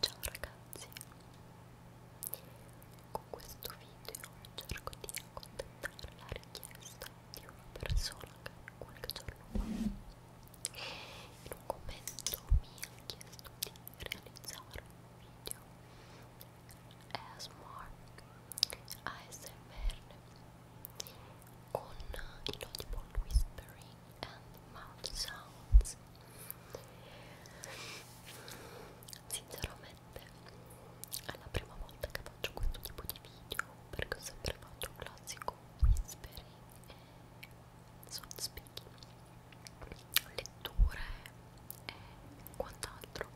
Ciao ragazzi, con questo video cerco di accontentare la richiesta di una persona che qualche giorno fa in un commento mi ha chiesto di realizzare un video ASMR ASMR con il audible whispering and mouth sounds sinceramente è la prima volta che faccio questo tipo di video perché ho sempre fatto un classico whispering e soft speaking letture e quant'altro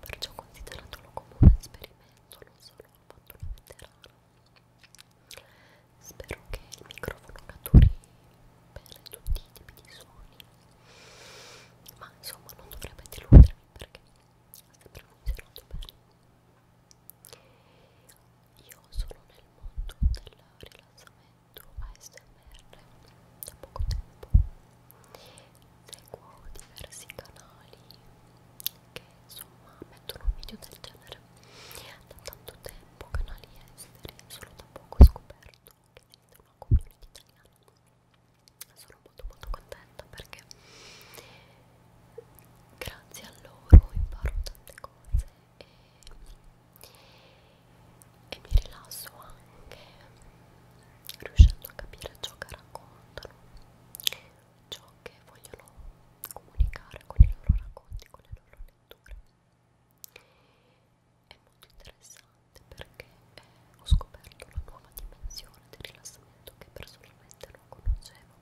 perciò consideratelo come un esperimento non solo ho fatto una veterana Spero che il microfono catturi bene tutti i tipi di suoni, ma insomma non dovrebbe deludermi perché ha sempre funzionato bene. Io sono nel mondo del rilassamento ASMR da poco tempo, seguo diversi canali che insomma mettono video del genere da tanto tempo canali esteri, solo da poco ho scoperto che esiste una community italiana. Sono molto molto contenta perché grazie a loro imparo tante cose e, e mi rilasso anche riuscendo a capire ciò che raccontano, ciò che vogliono comunicare con i loro racconti, con le loro lettere lettura è molto interessante perché eh, ho scoperto una nuova dimensione del rilassamento che personalmente non conoscevo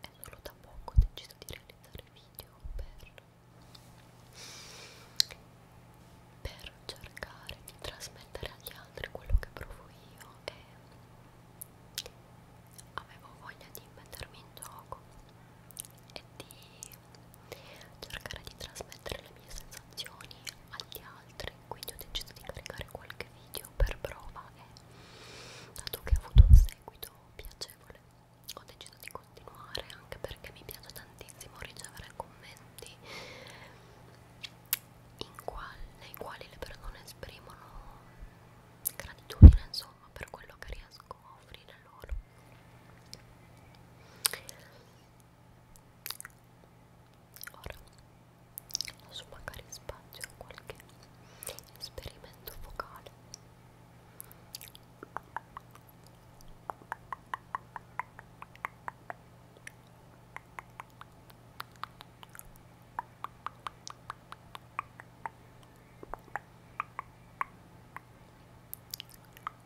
e solo da poco ho deciso di realizzare video per, per cercare di trasmettere agli altri quello che provo io e avevo voglia di mettermi in gioco e di cercare di trasmettere le mie sensazioni agli altri quindi ho deciso di caricare qualche video per prova e dato che ha avuto un seguito piacevole ho deciso di continuare anche perché mi piace tantissimo ricevere commenti in quali, nei quali le persone esprimono gratitudine insomma insomma per quello che riesco a offrire loro ora lascio magari spazio a qualche esperimento focale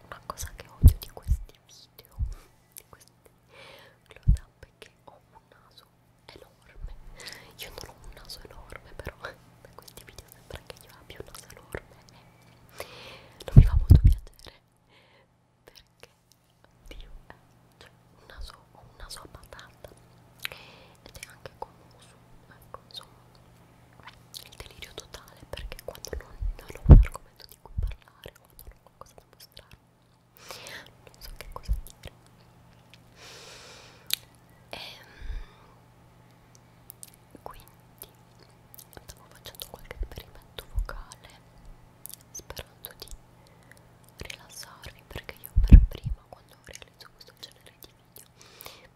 una cosa che odio di questi video, di questi close up, è che ho un naso enorme. Io non ho un naso enorme, però da questi video sembra che io abbia un naso enorme. Non mi fa molto piacere perché, oddio, eh, cioè, un naso, ho un naso a patata ed è anche commoso, ecco, insomma, il delirio totale perché quando non, non ho un argomento di cui parlare, quando non ho qualcosa da mostrare, non so che cosa dire. E, ehm, quindi stavo facendo qualche esperimento vocale sperando di rilassarvi perché io per prima quando realizzo questo genere di meglio mi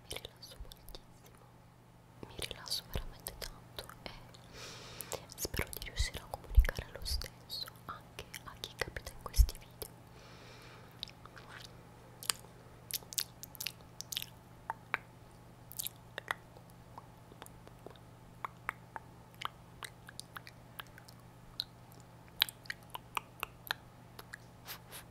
rilasso moltissimo mi rilasso veramente tanto e spero di riuscire a comunicare lo stesso anche a chi capita in questi video Ciao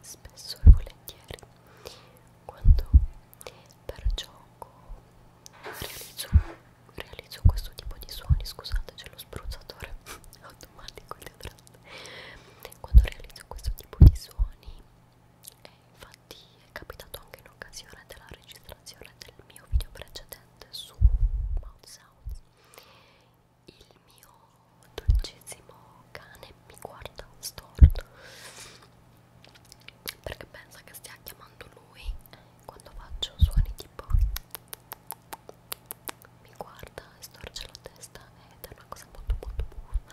Spesso e volentieri, quando per gioco realizzo, realizzo questo tipo di suoni, scusate c'è lo spruzzatore automatico dietro, quando realizzo questo tipo di suoni, eh, infatti è capitato anche in occasione della registrazione del mio video precedente su Mouth Sounds il mio dolcissimo cane mi guarda storto perché pensa che stia chiamando lui eh, quando faccio suoni tipo mi guarda e storce la testa ed è una cosa molto molto buffa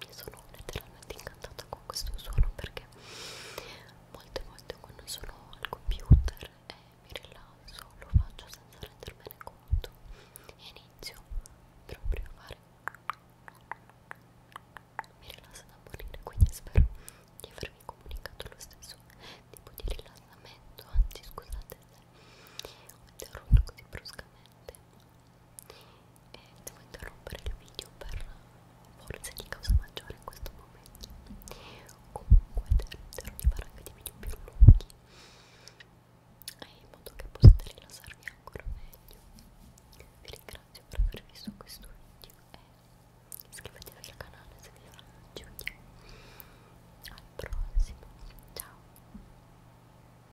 mi sono letteralmente incantata con questo suono perché molte volte quando sono al computer e mi rilasso lo faccio senza rendermene conto e inizio proprio a fare mi rilassa da morire quindi spero di avervi comunicato lo stesso tipo di rilassamento anzi scusate ho interrotto così bruscamente e devo interrompere il video per forze di causa maggiore in questo momento comunque tenterò di fare anche dei video più lunghi in modo che possiate rilassarvi ancora meglio vi ringrazio per aver visto questo video e iscrivetevi al canale se vi piace al prossimo ciao